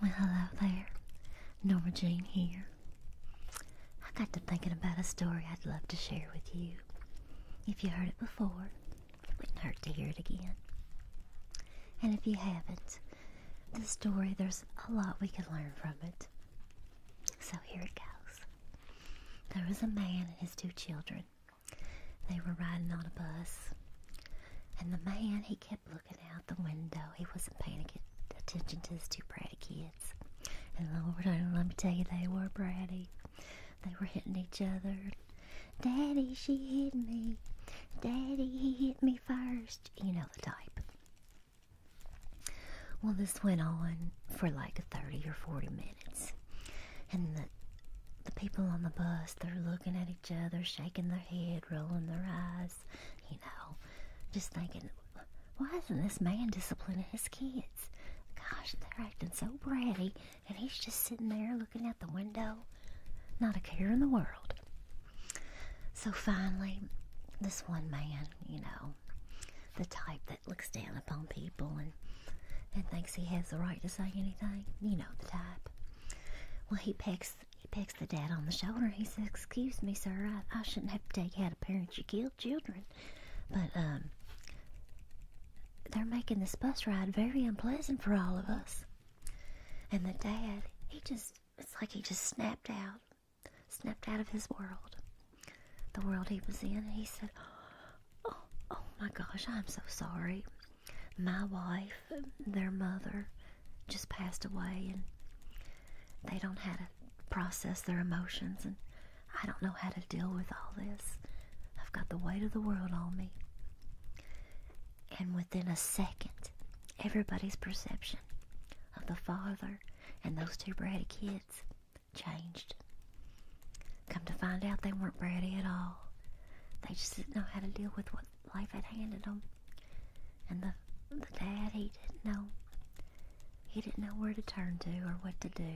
Well, hello there. Norma Jean here. I got to thinking about a story I'd love to share with you. If you heard it before, it wouldn't hurt to hear it again. And if you haven't, the story, there's a lot we can learn from it. So here it goes. There was a man and his two children they were riding on a bus, and the man he kept looking out the window. He wasn't paying attention to his two bratty kids, and Lord, let me tell you, they were bratty. They were hitting each other. Daddy, she hit me. Daddy, he hit me first. You know the type. Well, this went on for like 30 or 40 minutes. And the the people on the bus, they're looking at each other, shaking their head, rolling their eyes, you know, just thinking, why isn't this man disciplining his kids? Gosh, they're acting so bratty, and he's just sitting there looking out the window, not a care in the world. So finally, this one man, you know, the type that looks down upon people and and thinks he has the right to say anything. You know the type. Well, he pecks he pecks the dad on the shoulder. He says, "Excuse me, sir. I, shouldn't have to take out a parent you killed children, but um, they're making this bus ride very unpleasant for all of us." And the dad, he just it's like he just snapped out, snapped out of his world the world he was in. He said, "Oh, oh my gosh, I'm so sorry. My wife, their mother, just passed away, and they don't have to process their emotions, and I don't know how to deal with all this. I've got the weight of the world on me." And within a second, everybody's perception of the father and those two bratty kids changed. Come to find out, they weren't ready at all. They just didn't know how to deal with what life had handed them. And the, the dad, he didn't know. He didn't know where to turn to or what to do.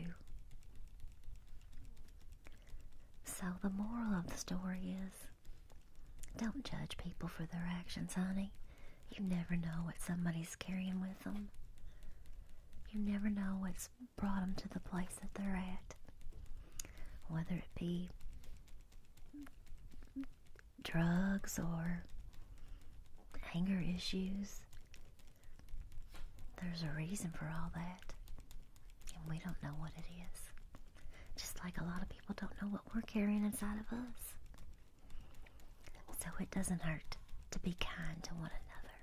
So the moral of the story is, don't judge people for their actions, honey. You never know what somebody's carrying with them. You never know what's brought them to the place that they're at. Whether it be drugs or anger issues, there's a reason for all that. And we don't know what it is. Just like a lot of people don't know what we're carrying inside of us. So it doesn't hurt to be kind to one another.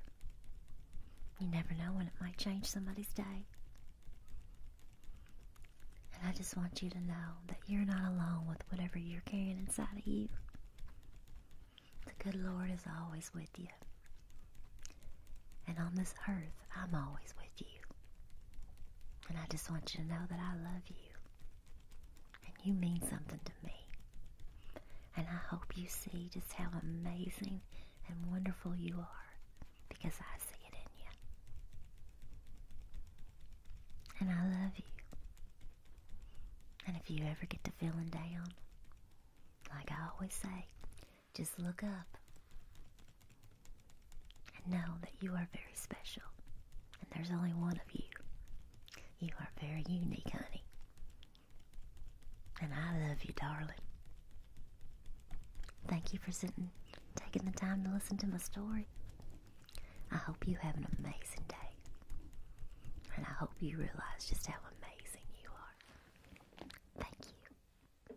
You never know when it might change somebody's day. And I just want you to know that you're not alone with whatever you're carrying inside of you. The good Lord is always with you. And on this earth, I'm always with you. And I just want you to know that I love you. And you mean something to me. And I hope you see just how amazing and wonderful you are because I see it in you. And I love you. And if you ever get to feeling down, like I always say, just look up and know that you are very special. And there's only one of you. You are very unique, honey. And I love you, darling. Thank you for sitting, taking the time to listen to my story. I hope you have an amazing day. And I hope you realize just how amazing you are. Thank you.